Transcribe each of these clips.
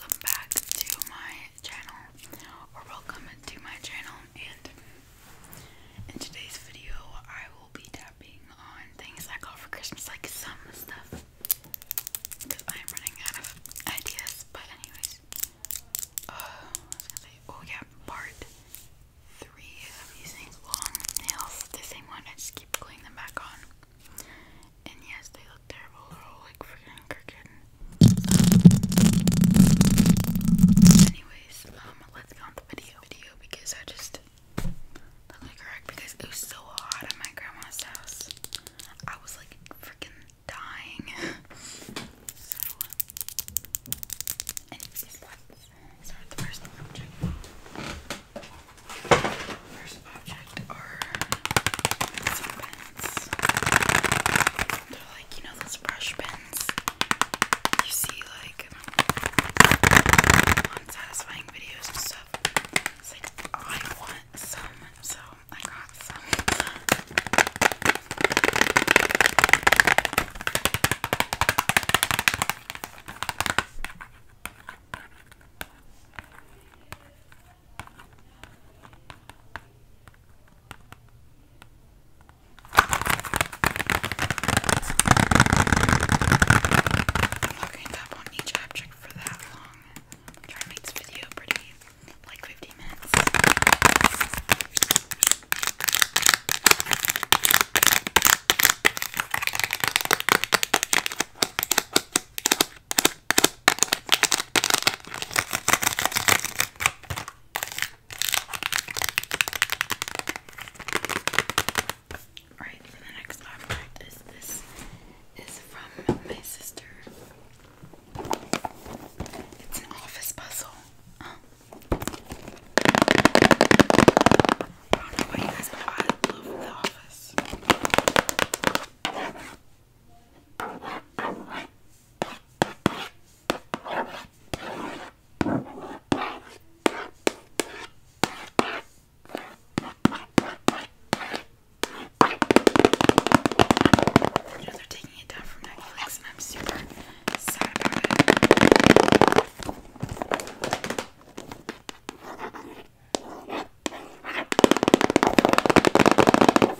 Welcome back to my channel, or welcome to my channel, and in today's video, I will be tapping on things I got for Christmas, like some stuff, because I am running out of ideas, but anyways, uh, oh yeah, part three of long nails, the same one, I just keep pulling them back on, and yes, they look terrible. They're all like freaking crooked. Anyways, um, let's go on the video video because I just look like a because it was so hot at my grandma's house. I was like freaking dying. so, anyways, let's start the first object first are pens. They're like, you know, those brush pens you see, like, on videos and stuff. like, oh, I want some, so I got some. Okay, that won't need chapstick for that long. i to make this video pretty, like 50 minutes. Alright, so the next object is this is from my sister. It's an office puzzle. I don't know why you guys but love the office. You know, they're taking it down from Netflix, and I'm super sad about it.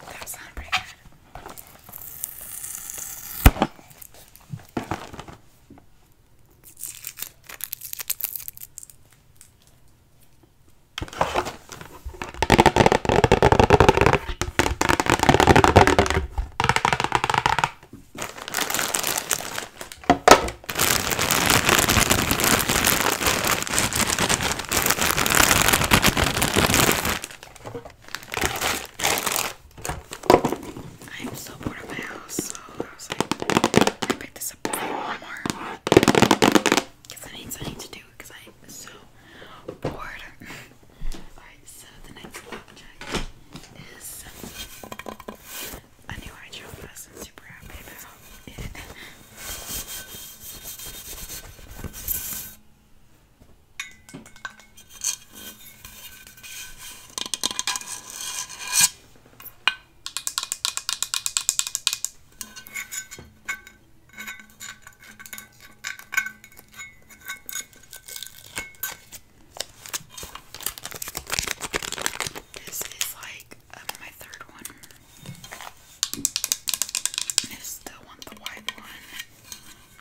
That sounded pretty good. I am so bored of my house, so I was like, I picked this up from Walmart because I need something to do because I am so bored. Alright, so the next object is a new eye drop. I'm super happy about this is like um, my third one. I still want the white one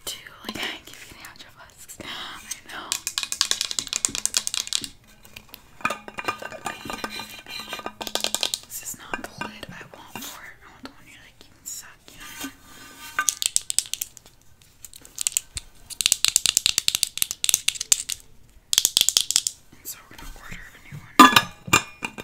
too. Like I keep getting out of husks. I know. This is not the lid I want for I want the one you like even so we're gonna order a new one.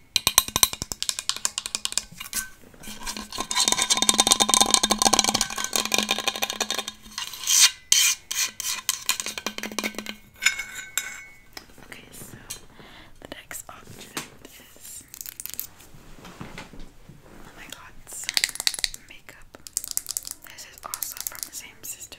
Okay, so the next object is oh my god, some makeup. This is also from the same sister.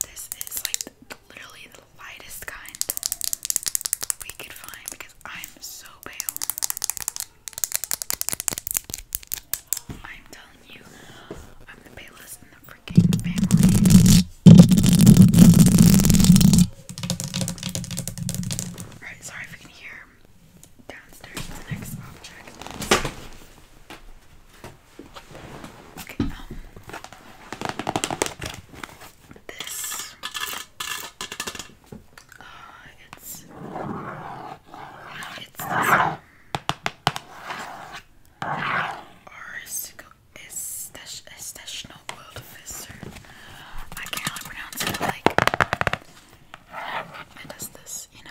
This is like literally the lightest kind we could find because I'm so pale. I'm telling you, I'm the palest in the freaking family. Alright, sorry if you can hear downstairs next object. Okay, um this uh it's it's this um, Arsico is Estestional World Visor. I can't pronounce it like it does this, you know.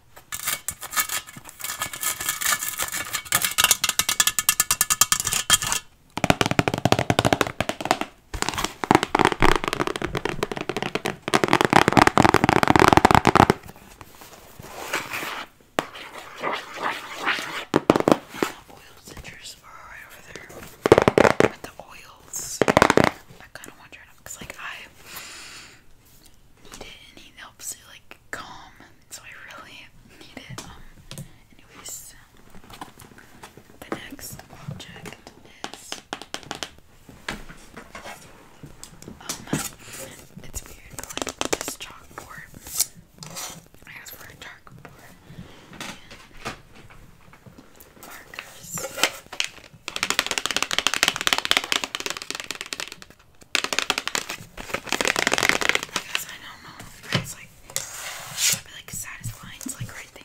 Oil citrus are right over there. But the oils, I kind of want to try them because, like, I need it and it helps you like calm. So I really need it. Um, anyways the next object is um it's weird like this chalkboard. I asked for a chalkboard and markers. I guess I don't know. It's like probably like satisfying. It's like right there.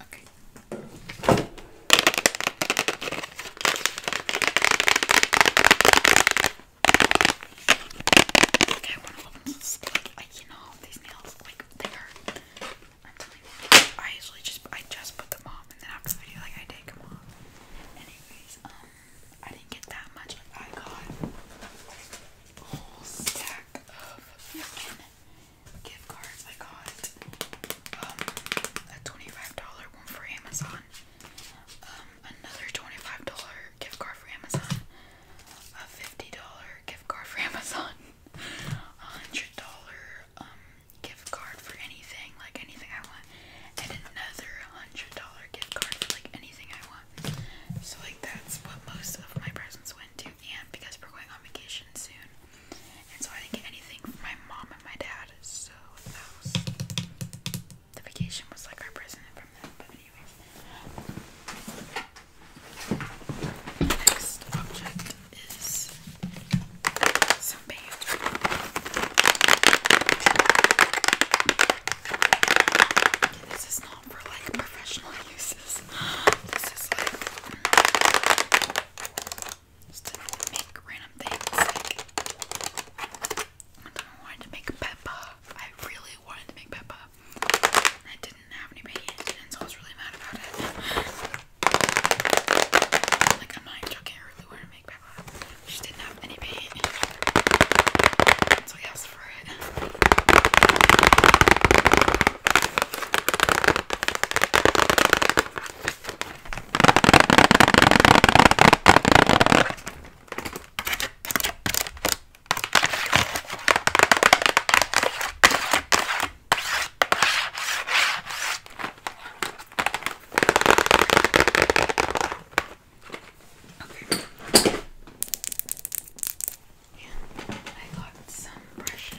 Okay. Okay, one of them stick. I, you know, these nails like they hurt. i usually just I just put them on, and then after the video, like I take them off. Anyways, um, I didn't get that much. Like I got a whole stack of gift cards I got um a $25 one for Amazon, um another $25 gift card for Amazon, a $50 gift card for Amazon, a $100 um gift card for anything, like anything I want, and another $100 gift card for like anything I want. So like that's what most of my presents went to and because we're going on vacation soon, and so I didn't get anything for my mom and my dad. So the vacation was like our present from them. But anyways, next object is some band. this is not for like professional uses. This is like just to make random things. Like, I I wanted to make Peppa. I really wanted to make Peppa. I didn't have any paint, and so I was really mad about it. Like, I'm not joking, I really wanted to make Peppa. She didn't have any paint. So I asked for it. Okay. And I got some brushes.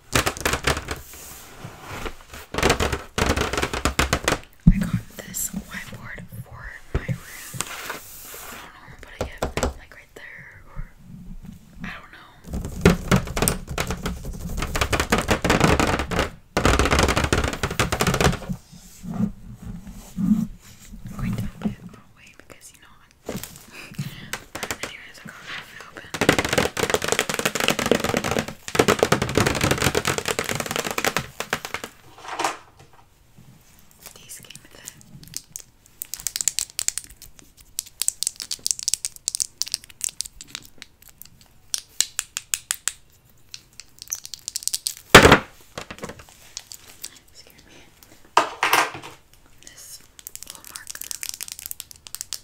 I got this whiteboard for my room. I don't know where I'm putting it, like right there, or I don't know. I'm going to open it all the way because you know I'm but anyways, I got half it open. These came with it. Scared me. This little marker.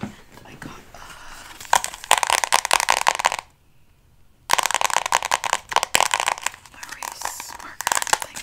And I got uh, a erase marker thing.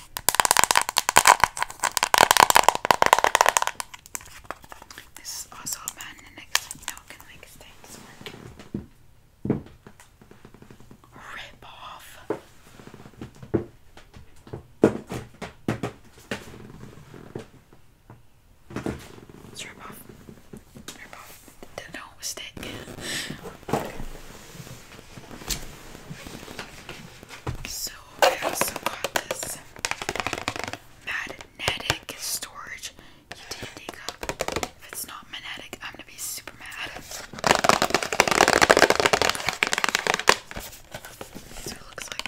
This is also a bad. and next now I make things work. Rip off. Let's rip off. Rip off the dough stick. So I also got this magnetic storage utility cup. If it's not magnetic, I'm gonna be super mad. So it looks like.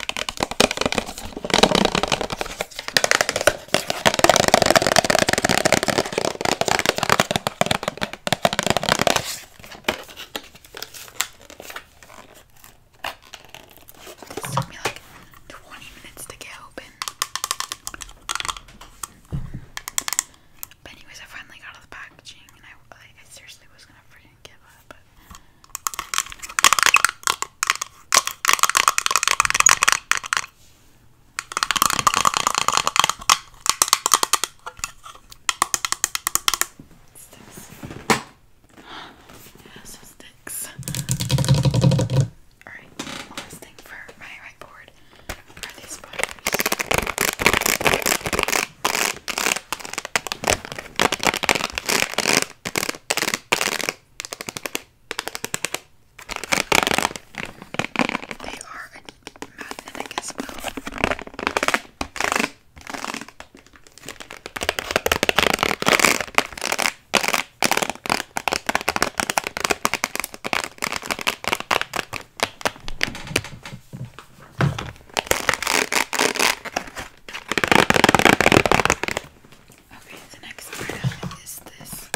It took me like 20 minutes to get open. But anyways, I finally got out the packaging and I, I seriously was gonna freaking give up, it's this. Yeah, so sticks. Alright, last thing for my right board are these butters. They are a Okay, the next part of this phone case.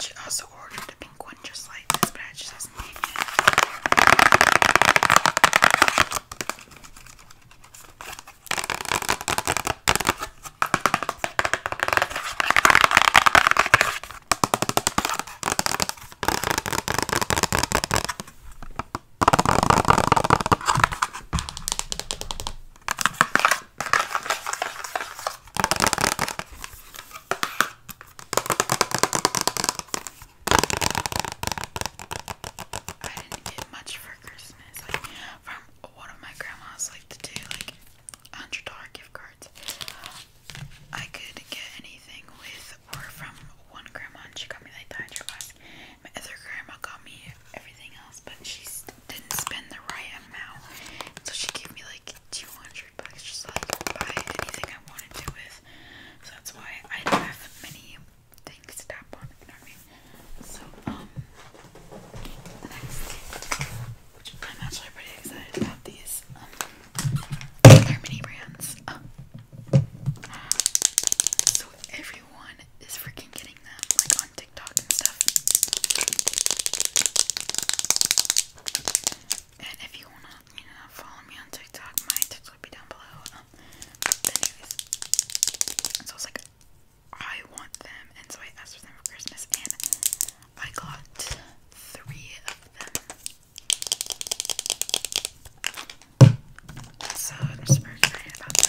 She also ordered a pink one just like this, but I just hasn't came yet. I didn't get much for Christmas. Like from one of my grandma's like the two like hundred dollar gift cards. I could get anything with or from one grandma and she got me like the hydro flask. My other grandma got me everything else, but she's didn't spend the right amount. So she gave me like 200 bucks just like buy anything I wanted to with. So that's why I have many things to tap on, you know So, um, the next gift, which I'm actually pretty excited about these, um, are mini brands. Oh. so every everyone is freaking getting them, like on TikTok and stuff. And if you wanna, you know, follow me on TikTok, my TikTok will be down below. Um, so I was like, I want them, and so I asked for them for Christmas, and I got three of them. So I'm super excited about them.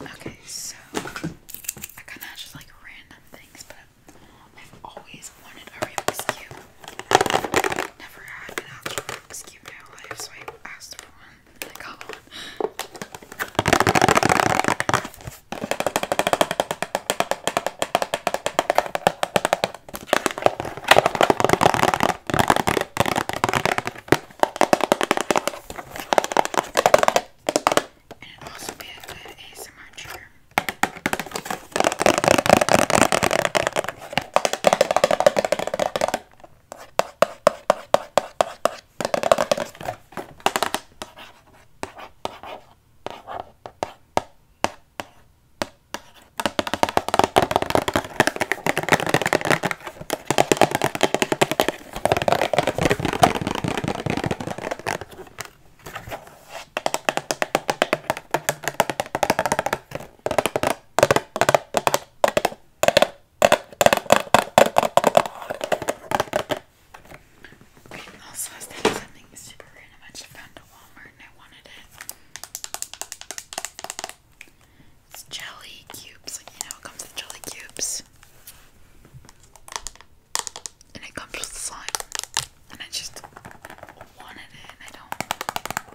Okay, so I kind of just like random things, but I've always wanted a Rubik's never had an actual Rubik's in my life, so I asked for one I got one. And it'd also be a good ASMR trigger. Okay, also I was thinking something super random. I just found a Walmart and I wanted it. It's jelly cubes, like you know, it comes with jelly cubes. And it comes with slime. And I just wanted it I don't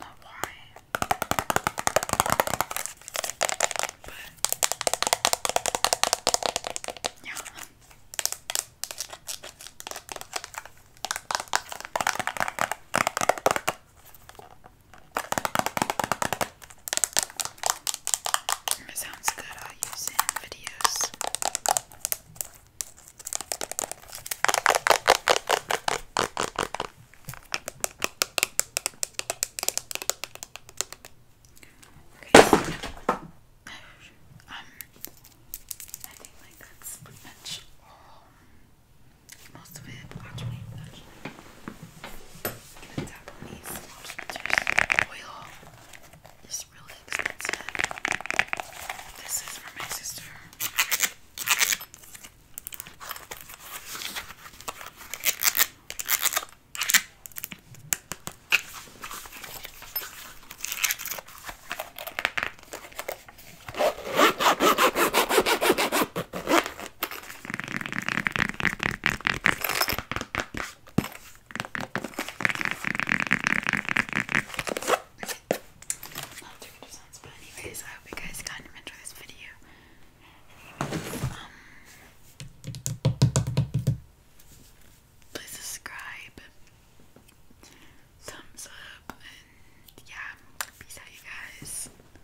know why. But yeah. It sounds good, I'll use in videos. Okay, um, I think like that's pretty most of it watch me actually. I'm gonna tap on these moisturizers. Oil is really expensive. This is for my sister. Not doing it sounds, but anyways, I hope you guys kind of enjoy this video. Um, please subscribe, thumbs up, and yeah, peace you guys.